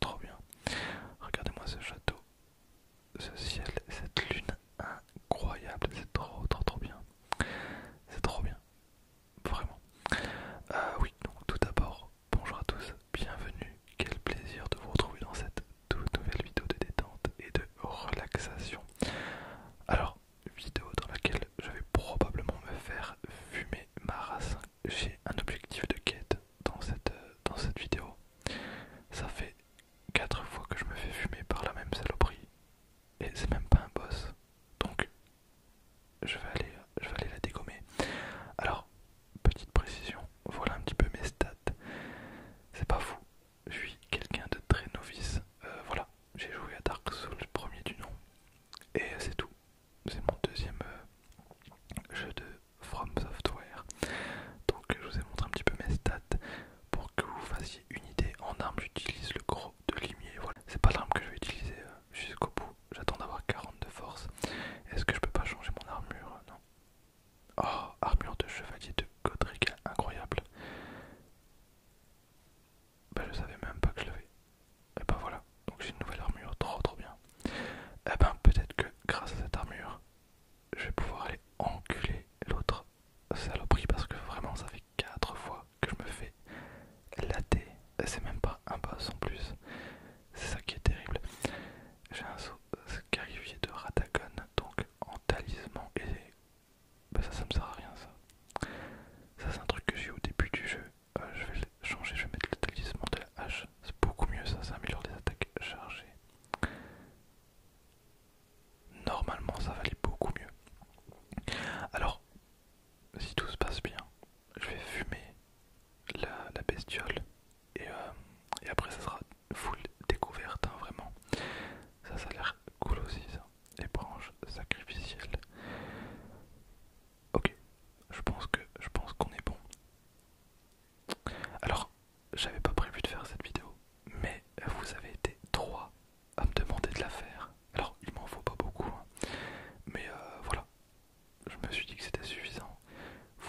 Trop bien. Regardez-moi ce château, ce ciel, cette lune incroyable. C'est trop, trop, trop bien. C'est trop bien. Vraiment. Euh, oui, donc tout d'abord, bonjour à tous, bienvenue. Quel plaisir de vous retrouver dans cette toute nouvelle vidéo de détente et de relaxation. Alors, vidéo dans laquelle je vais probablement me faire fumer ma race. J'ai un objectif de quête dans cette, dans cette vidéo. Ça fait 4 fois que je me fais fumer par la même saloperie. Et c'est même pas un boss. Donc je vais aller, je vais aller la dégommer. Alors, petite précision, voilà un petit peu mes stats. C'est pas fou. Je suis quelqu'un de très novice. Euh, voilà, j'ai joué à Dark Souls premier du nom. Et c'est tout c'est mon deuxième euh, jeu de From Software. Donc je vous ai montré un petit peu mes stats pour que vous fassiez une idée. En arme j'utilise le gros de limier, voilà. C'est pas l'arme que je vais utiliser euh, jusqu'au bout, j'attends d'avoir 40 de force. Est-ce que je peux pas changer mon armure Non. Oh, armure de chevalier de Godric, incroyable. Bah je savais même pas que je l'avais. Et ben voilà, donc j'ai une nouvelle armure, trop trop bien. Et eh ben peut-être que grâce à cette armure, je vais pouvoir aller enculer l'autre saloperie parce que vraiment ça fait 4 fois que je me fais et C'est même pas un boss en plus, c'est ça qui est terrible. J'ai un saut de Ratagon donc en talisman et ben ça ça me sert à rien ça. Ça c'est un truc que j'ai au début du jeu euh, je vais changer, je vais mettre le talisman de la hache, c'est beaucoup mieux ça, ça améliore les attaques chargées. Normalement ça valait beaucoup mieux. Alors, si tout se passe bien, je vais fumer la, bestiole euh, et, après ça sera full découverte, hein, vraiment. Ça, ça a l'air cool aussi ça. Les branches sacrificielles. Ok, je pense que je pense qu'on est bon. Alors, j'avais pas prévu de faire cette vidéo, mais vous avez été droit à me demander de la faire. Alors, il m'en faut pas beaucoup, hein. mais euh, voilà, je me suis dit que c'était suffisant.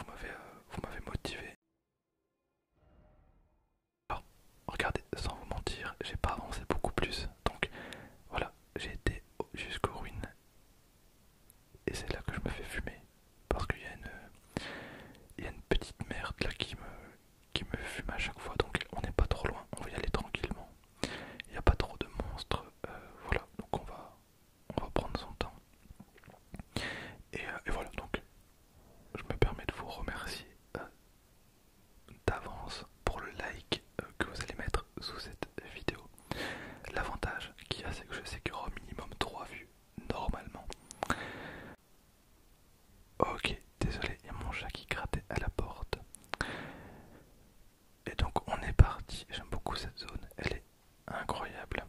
Euh, vous m'avez motivé. Alors, regardez, sans vous mentir, j'ai pas avancé beaucoup plus, donc voilà, j'ai été jusqu'aux ruines et c'est là que je me fais fumer. Parce qu'il y, y, a une petite merde là qui me, qui me fume à chaque fois. Donc on n'est pas trop loin, on va y aller tranquillement. Il n'y a pas trop de monstres. Euh, voilà, donc on va, on va prendre son temps. Et, euh, voilà, donc je me permets de vous remercier euh, d'avance pour le like que vous allez mettre sous cette vidéo. L'avantage qu'il y a, c'est que je sais qu'il y aura au minimum 3 vues, normalement. Ok, désolé, il y a mon chat qui grattait à la porte. Et donc on est parti, j'aime beaucoup cette zone, elle est incroyable.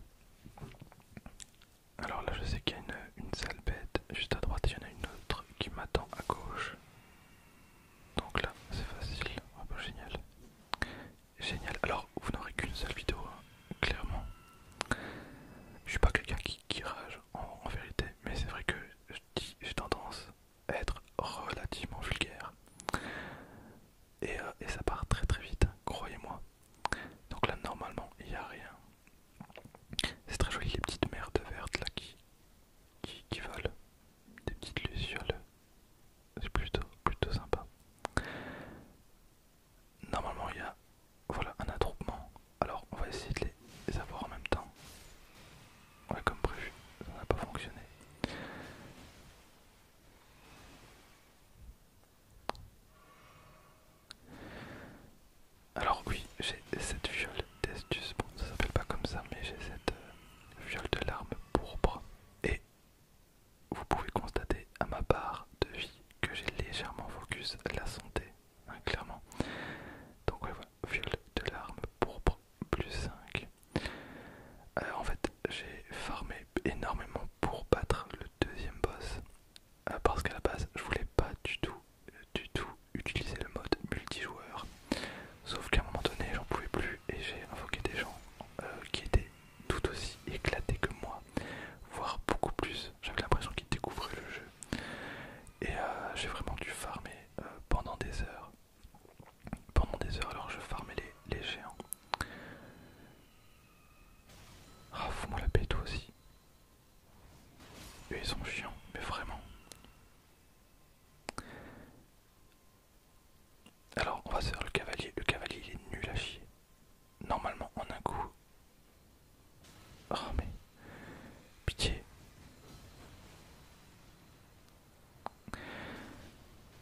Alors là je sais qu'il y a une, une salle bête, juste à droite il y en a une autre qui m'attend à gauche. Donc là c'est facile, un oh, peu bah, génial. Génial. Alors, vous n'aurez qu'une seule vidéo, hein, clairement. Je suis pas quelqu'un qui, rage en, vérité, mais c'est vrai que j'ai tendance à être relativement vulgaire. Euh, et, ça part très très vite, croyez-moi. Donc là, normalement, il n'y a rien. C'est très joli les petites merdes vertes là qui, qui volent. Des petites lucioles c'est plutôt, plutôt sympa. Normalement, il y a voilà, un attroupement. Alors, on va essayer de les avoir en même temps. Ouais, comme prévu, ça n'a pas fonctionné. Alors oui, j'ai cette viole d'estus, bon ça s'appelle pas comme ça, mais j'ai cette viole euh, de larmes pourpre et vous pouvez constater à ma part de vie que j'ai légèrement focus la santé, hein, clairement. Donc ouais, voilà, de l'arme pour plus 5. Euh, en fait, j'ai farmé énormément pour battre le deuxième boss, euh, parce qu'à la base, je voulais pas du tout, du tout utiliser le mode multijoueur. Sauf qu'à un moment donné, j'en pouvais plus et j'ai invoqué des gens euh, qui étaient tout aussi éclaté que moi, voire beaucoup plus. J'avais l'impression qu'il découvrait le jeu. Et euh, j'ai vraiment dû farmer euh, pendant des heures. Pendant des heures, alors je farmais les, géants. Ah, la paix, toi aussi. Eux, ils sont chiants, mais vraiment. Alors, on va se faire le cavalier. Le cavalier, il est nul à chier. Normalement, en un coup. Oh, mais. Pitié.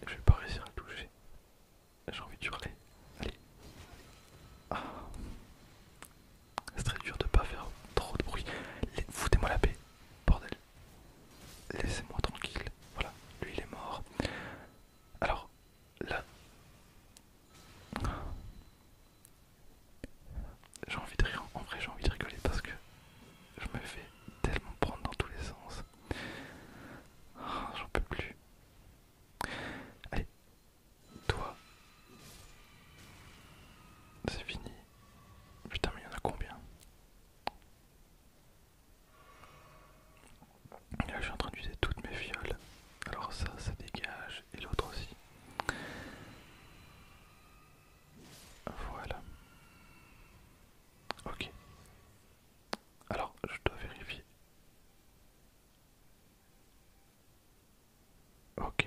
Je vais pas réussir à le toucher. J'ai envie de hurler. Allez. Ah. C'est très dur de pas faire trop de bruit. Foutez-moi la paix. Bordel. Laissez-moi tranquille. Voilà. Lui, il est mort. Alors, là... J'ai envie de rire, en vrai j'ai envie de rigoler parce que je me fais tellement prendre dans tous les sens. J'en peux plus. Allez, toi. C'est fini. Putain mais il y en a combien Là je suis en train d'utiliser toutes mes fioles. Alors ça, ça dégage et l'autre aussi. Voilà. Ok. Alors je dois vérifier. Ok.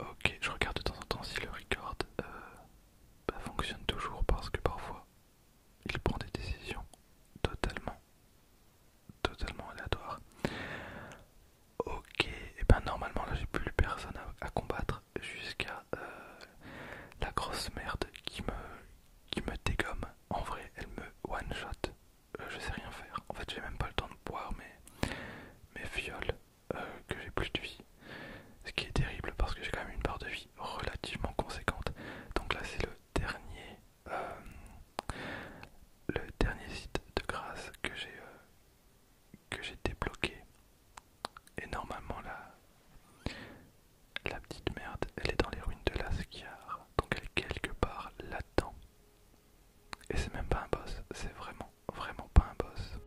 Ok, je regarde de temps en temps si le record euh, bah, fonctionne toujours parce que parfois il prend des décisions totalement, totalement aléatoires. Ok, et ben normalement là j'ai plus personne à, combattre jusqu'à euh, la grosse merde qui me, qui me dégomme. En vrai, elle me one shot. Euh, je sais rien faire. En fait, j'ai même pas le temps de boire mes, mes fioles euh, que j'ai plus de vie. Ce qui est terrible parce que j'ai quand même une part de vie relativement conséquente. Donc là c'est le dernier euh, le dernier site de grâce que j'ai euh, que j'ai débloqué. Et normalement la, la petite merde elle est dans les ruines de Lascar. Donc elle est quelque part là-dedans. Et c'est même pas un boss, c'est vraiment, vraiment pas un boss.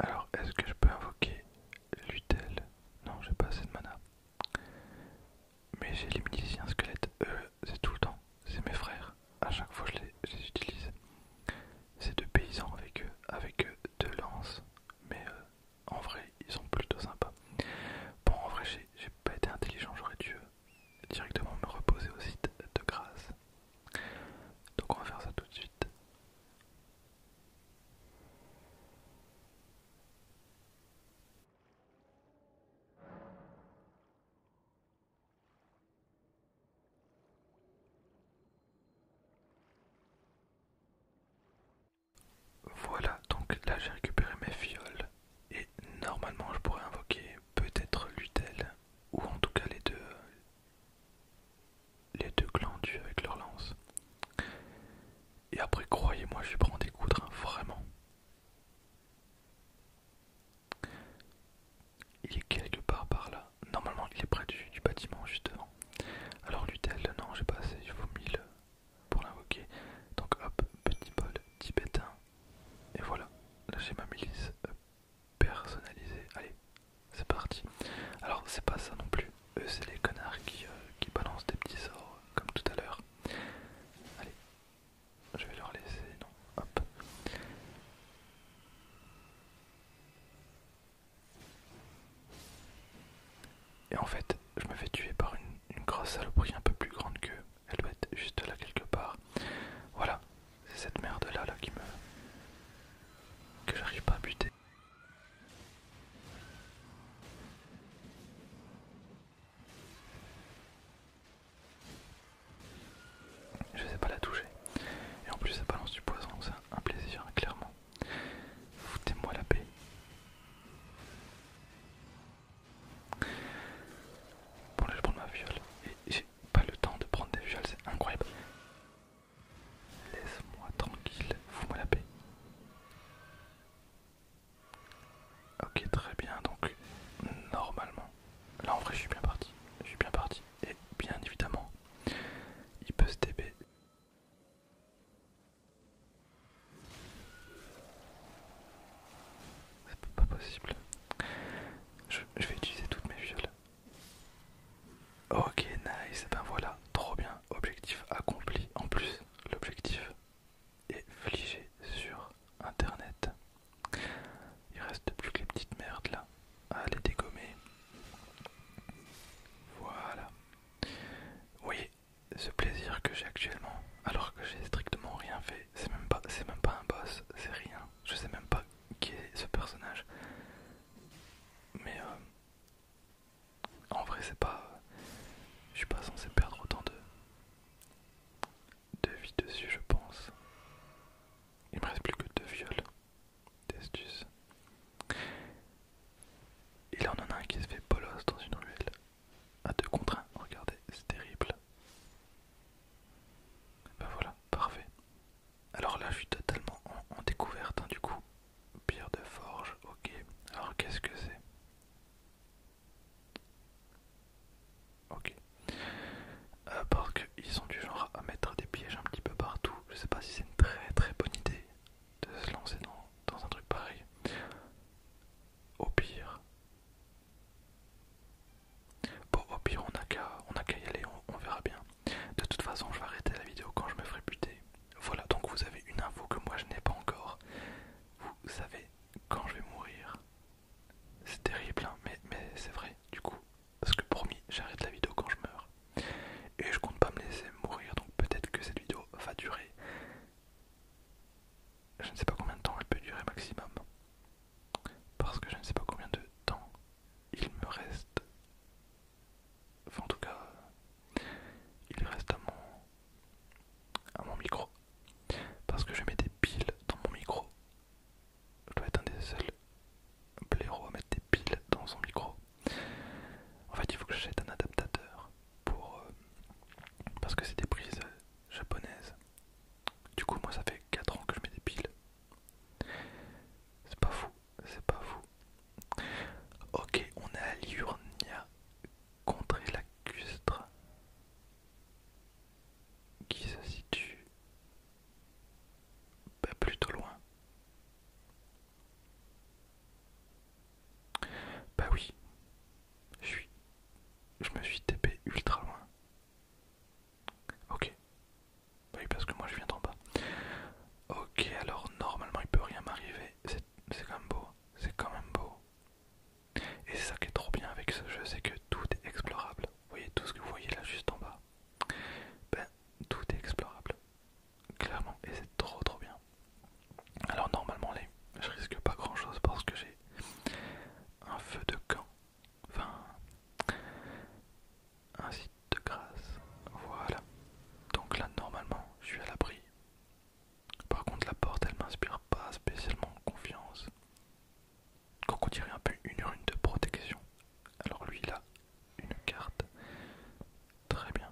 Alors, est-ce que je peux invoquer l'utel Non, j'ai pas assez de mana. Mais j'ai les miliciens squelettes. Eux, c'est tout le temps. C'est mes frères. À chaque fois, je je les utilise. C'est deux paysans avec eux, avec eux deux lances mais euh, en vrai ils sont plutôt sympas. Bon en vrai j'ai pas été intelligent, j'aurais dû euh, directement me reposer au site de grâce. Donc on va faire ça tout de suite. Voilà, donc là j'ai récupéré mes fioles et normalement je pourrais invoquer peut-être l'utel ou en tout cas les deux les deux glandus avec leur lance. Et après croyez-moi, je vais prendre des coudres vraiment. Il est quelque part par là. Normalement, il est près du, bâtiment, juste devant. Alors, l'utel, non, j'ai pas assez, il faut mille pour l'invoquer. Donc, hop, petit bol tibétain. Et voilà, là j'ai ma milice personnalisée. Allez, c'est parti. Alors, c'est pas ça non plus. Eux, c'est les connards qui, euh, qui balancent des petits sorts, euh, comme tout à l'heure. Allez, je vais leur laisser. Non, hop. Et en fait, je me fais tuer par une, grosse saloperie un peu plus grande que Elle doit être juste là quelque part. Voilà, c'est cette merde là, là qui me... que j'arrive pas à buter. Je sais pas la toucher. Et en plus ça balance du poison, c'est un plaisir, clairement. Foutez-moi la paix. Bon là je prends ma viole et j'ai pas le temps de prendre des viols, c'est incroyable. Laisse-moi tranquille, fous-moi la paix. Ok très bien donc normalement là en vrai je suis bien parti je suis bien parti et bien évidemment il peut se TP c'est pas possible. Je, vais utiliser toutes mes viols. Ok, nice. Eh ben voilà, trop bien. Objectif accompli. En plus, l'objectif est fligé sur internet. Il reste plus que les petites merdes là à les dégommer. Voilà. Oui, voyez ce plaisir que j'ai actuellement, alors que j'ai strictement rien fait. C'est même pas, c'est même pas un boss, c'est rien. Je sais même pas qui est ce personnage. Mais euh, en vrai, c'est pas, je suis pas censé perdre autant de de vie dessus, je pense. Il me reste plus que deux viols. Et Il en en a un qui se fait bolos dans une ruelle. À deux contre 1, regardez, c'est terrible. Bah voilà, parfait. Alors là, je suis totalement en, découverte, hein, du coup. Pierre de forge, ok. Alors qu'est-ce que c'est Ok. À euh, part qu'ils sont du genre à mettre des pièges un petit peu partout. Je sais pas si c'est une très très bonne idée de se lancer dans, un truc pareil. Au pire, bon, au pire, on a qu'à y aller, on, verra bien. De toute façon, je vais arrêter la vidéo quand je me ferai buter. Voilà, donc vous avez une info que moi je n'ai pas encore. Vous savez quand je vais mourir. C'est terrible, hein, mais, mais c'est vrai, du coup. Parce que promis, j'arrête la vidéo quand je meurs. Et je compte pas me laisser mourir, donc peut-être que cette vidéo va durer. Je ne sais pas combien de temps elle peut durer maximum. Parce que je ne sais pas combien de temps il me reste. Enfin en tout cas, il reste à mon, à mon micro. Parce que je mets des piles dans mon micro. Je dois être un des seuls blaireau à mettre des piles dans son micro. En fait, il faut que j'achète un adaptateur pour. Euh, parce que c'est des prises euh, japonaises. Du coup, moi, ça fait 4 ans que je mets des piles. C'est pas fou, c'est pas fou. Ok, on est à Liurnia, contrée custre. qui se situe pas plutôt loin. Bah oui, je suis. Je me suis TP ultra loin. Ok. Bah oui, parce que moi je viens d'en bas. Ok, alors normalement il peut rien m'arriver. C'est quand même beau. Hein. C'est quand même beau. Et c'est ça qui est trop bien avec ce jeu, c'est que tout est explorable. Vous voyez tout ce que vous voyez là juste en bas. Ben, tout est explorable. Clairement, et c'est trop trop bien. Alors normalement les je risque pas grand chose parce que j'ai un feu de camp. Enfin, un site de grâce. Voilà. Donc là normalement, je suis à l'abri. Par contre la porte, elle m'inspire pas spécialement confiance. Quand on dirait un peu une rune de protection. Alors lui là, une carte. Très bien.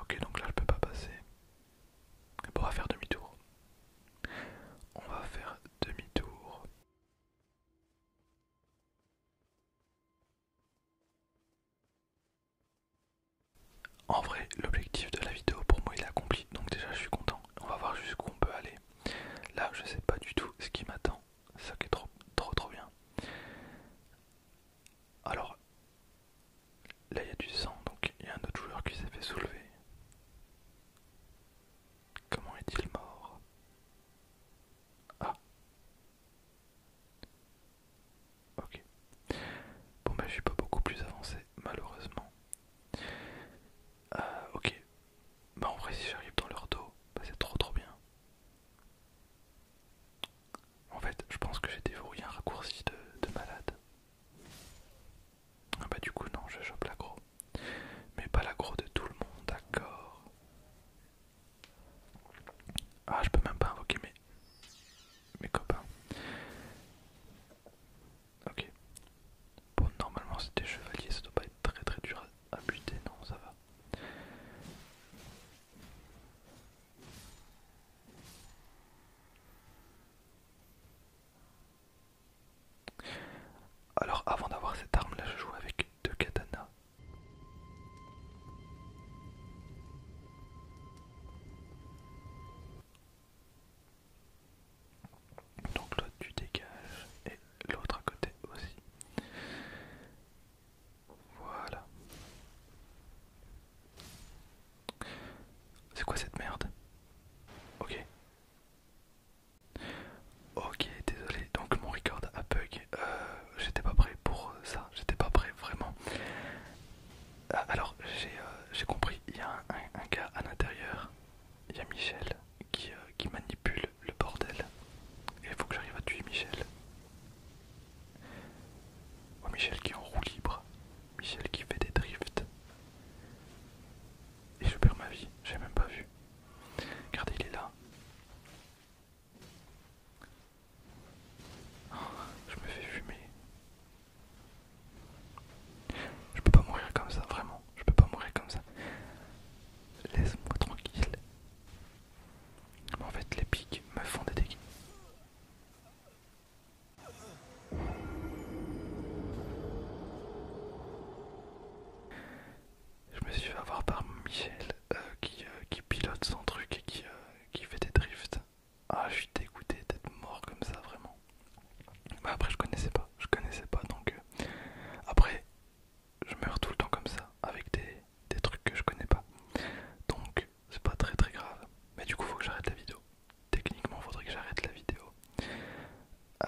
Ok, donc là je peux pas passer. on va faire demi-tour. On va faire demi-tour. En vrai, l'objectif de la vidéo pour moi il est accompli, donc déjà je suis content. On va voir jusqu'où on peut aller. Là, je sais pas du tout ce qui m'attend. ça qui est trop, trop, trop bien. Alors, là, il y a du sang, donc il y a un autre joueur qui s'est fait soulever. Comment est-il mort Ah Ok. Bon, bah, je suis pas beaucoup plus avancé, malheureusement. Euh, ok. Bah en vrai si j'arrive dans leur dos, bah, c'est trop trop bien. En fait, je pense que j'ai déverrouillé un raccourci de, malade. Ah bah du coup non, je chope l'agro. Mais pas l'agro de tout le monde, d'accord. Ah je peux même pas invoquer mes, mes copains. Ok. Bon normalement c'était chevaliers, ça doit pas être très très dur ah, non, ça va. Alors avant d'avoir cette arme là je joue avec deux katanas. Donc l'autre tu dégages et l'autre à côté aussi. Voilà. C'est quoi cette merde Ok. Ok, désolé, donc mon record a bug. Euh, j'étais pas prêt pour ça, j'étais pas prêt vraiment. Ah, alors, euh, j'ai compris, il y a un, gars à l'intérieur, il y a Michel qui, euh, qui Pulle le bordel. Et il faut que j'arrive à tuer Michel. Oh, Michel qui est en roue libre. Michel qui fait des drifts. Et je perds ma vie, j'ai même pas vu. Regardez, il est là. Oh, je me fais fumer. Je peux pas mourir comme ça, vraiment je peux pas mourir comme ça. Laisse-moi tranquille. en fait, les pics me font des dégâts. Je me suis fait avoir par Michel euh, qui, euh, qui pilote son truc et qui, euh, qui fait des drifts. Ah, je suis dégoûté d'être mort comme ça, vraiment. Mais après, je connaissais pas, je connaissais pas donc. Après, je meurs tout le temps comme ça, avec des, des trucs que je connais pas. Donc c'est pas très très grave. Mais du coup faut que j'arrête la vidéo. Techniquement faudrait que j'arrête la vidéo.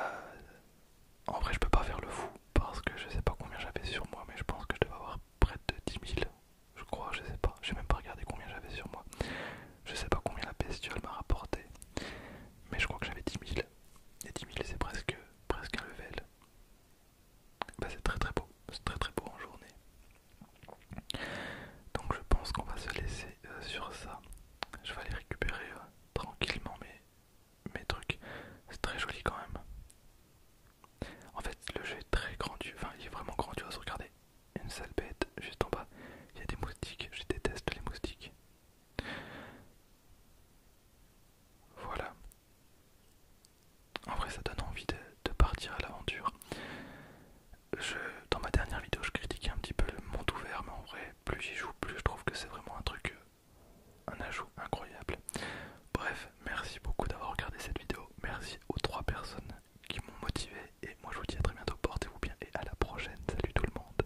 Euh, en vrai je peux pas faire le fou parce que je sais pas combien j'avais sur moi mais je pense que je devais avoir près de 10 000. Je crois, je sais pas. J'ai même pas regardé combien j'avais sur moi. Je sais pas combien la bestiole m'a rapporté. Mais je crois que j'avais 10 000. Et 10 000 c'est presque presque un level. Bah, c'est très très beau, c'est très très beau en journée. Donc je pense qu'on va se laisser euh, sur ça. Je vais aller récupérer euh, tranquillement mes, mes trucs. C'est très joli quand même. En fait le jeu est très grandiose, enfin il est vraiment grandiose, regardez. Une sale bête juste en bas. Il y a des moustiques, je déteste les moustiques. Voilà. En vrai, ça donne envie de, partir à l'aventure. Dans ma dernière vidéo, je critiquais un petit peu le monde ouvert, mais en vrai, plus j'y joue, plus je trouve que c'est vraiment un truc, euh, un ajout incroyable. Bref, merci beaucoup d'avoir regardé cette vidéo. Merci aux trois personnes qui m'ont motivé. Et moi, je vous dis à très bientôt. Portez-vous bien et à la prochaine. Salut tout le monde.